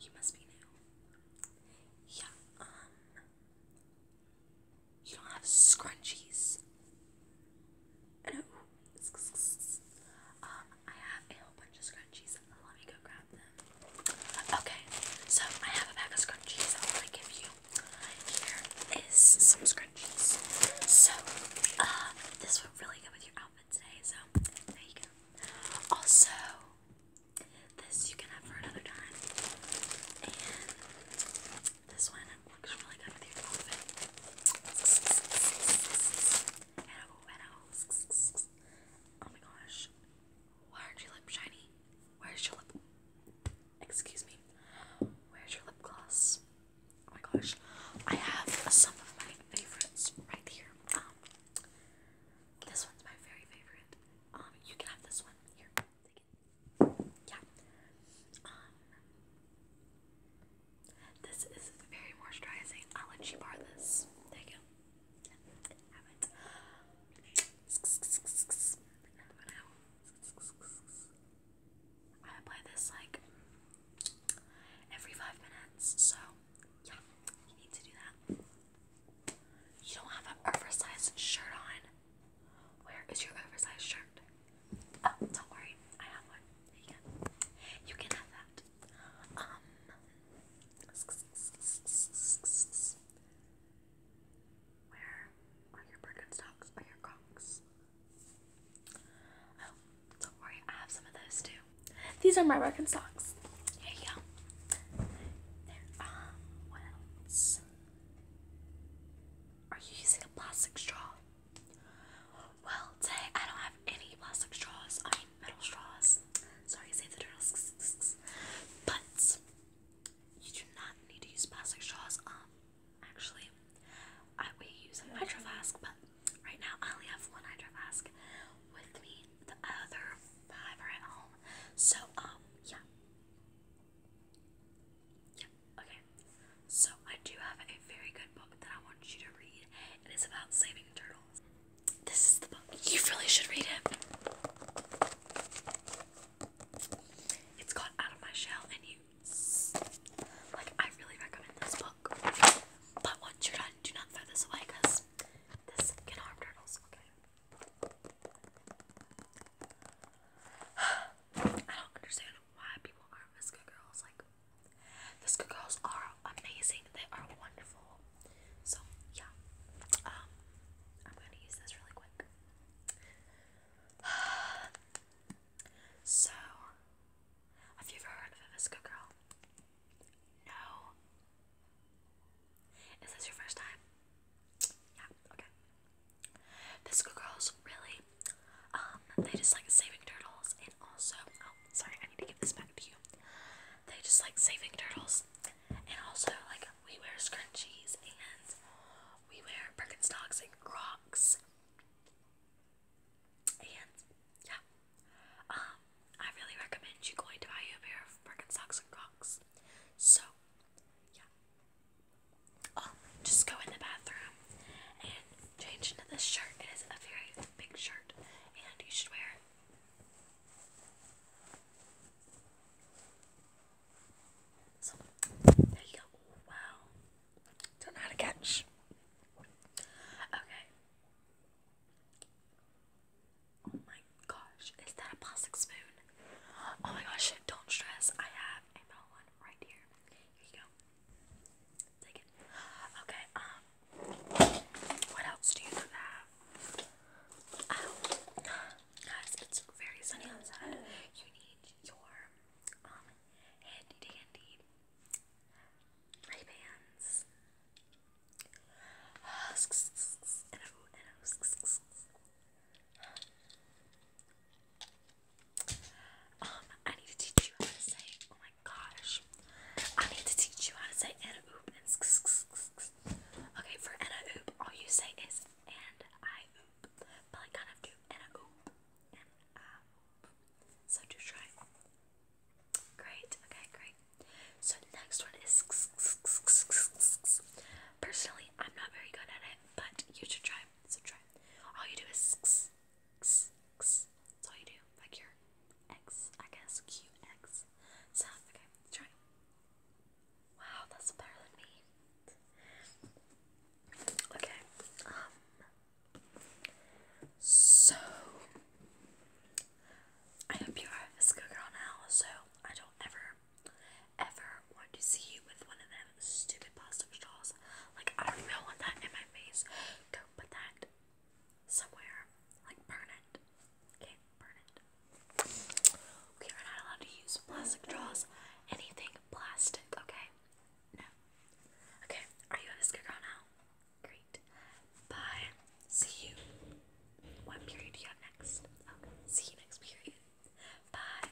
You must be new. Yeah, um. You don't have scrunchies. No. Um, I have a whole bunch of scrunchies. Let me go grab them. Okay, so I have a bag of scrunchies. I want to give you. Here is some scrunchies. So, uh, this one really go with your outfit happened so there you go. Also, this you can have for another time. And this one looks really good with your outfit. Oh my gosh. Why aren't your lips shiny? Where's your lip? Excuse me. Where's your lip gloss? Oh my gosh. I have some of my favorites right here. Um this one's my very favorite. Um you can have this one here. Yeah. Um This is very moisturizing. I'll let you borrow this. There you go. Have it. I play this like every five minutes, so yeah, you need to do that. You don't have an oversized shirt on. Where is your oversized shirt? Oh, don't worry, I have one. you go. You can have that. Um. Where are your Birkenstocks? Are your Crocs? Oh, don't worry, I have some of those too. These are my record socks. Here you go. There. Um, what else? Are you using a plastic straw? Well, today I don't have any plastic straws. I mean, metal straws. Sorry, say the turtles. But you do not need to use plastic straws. Um, actually. I we use a hydro flask, but right now I only have one hydro flask with me. The other five are at home. So um yeah. Yeah, okay. So I do have a very good book that I want you to read. It is about saving turtles. This is the book. You really should read it. It's called Out of My Shell and You. Like, I really recommend this book. But once you're done, do not throw this away because this can harm turtles. Okay. I don't understand why people aren't Visco girls. Like, Visco girls are amazing. They are wonderful. So, yeah. Um, I'm gonna use this really quick. so, have you ever heard of a Visco Girl? No. Is this your first time? Yeah, okay. Visco Girls, really, um, they just like saving turtles and also, oh, sorry, I need to give this back to you. They just like saving turtles and also like we wear scrunchies and we wear Birkenstocks and Crocs. And yeah, um, I really recommend you going to buy you a pair of Birkenstocks and Crocs. So, yeah. Oh, just go in the bathroom and change into this shirt. It is a very big shirt, and you should wear it so there you go. wow. Don't know how to catch. Okay. Oh my gosh. Is that a plastic spoon? Oh my gosh, don't stress. I have another one right here. Here you go. Take Okay, um, what else do you have? Oh, guys, it's very sunny outside. You need your, um, handy dandy Ray Bans. um, I need to teach you how to say, my gosh. I need to teach you how to say and oop and sk -sk -sk -sk -sk. Okay, for and a oop, all you say is and I oop. But I kind of do and a oop and I oop. So just try. Great, okay, great. So the next one is sk -sk -sk -sk -sk -sk -sk -sk. Personally, I'm not very good at it, but you should try. So try. All you do is sk -sk x, That's all you do, like your x, I guess, qx sound. Okay, try. Wow, that's better than me. Okay, um, so I hope you are a Visco now, so I don't ever, ever want to see you with one of them stupid plastic straws. Like, I don't even want that in my face. Go put that somewhere. Like, burn it. Okay, burn it. We are not allowed to use plastic straws. Anything plastic, okay? No. Okay, are you on a now? Great. Bye. See you. What period do you have next? Okay, see you next period. Bye.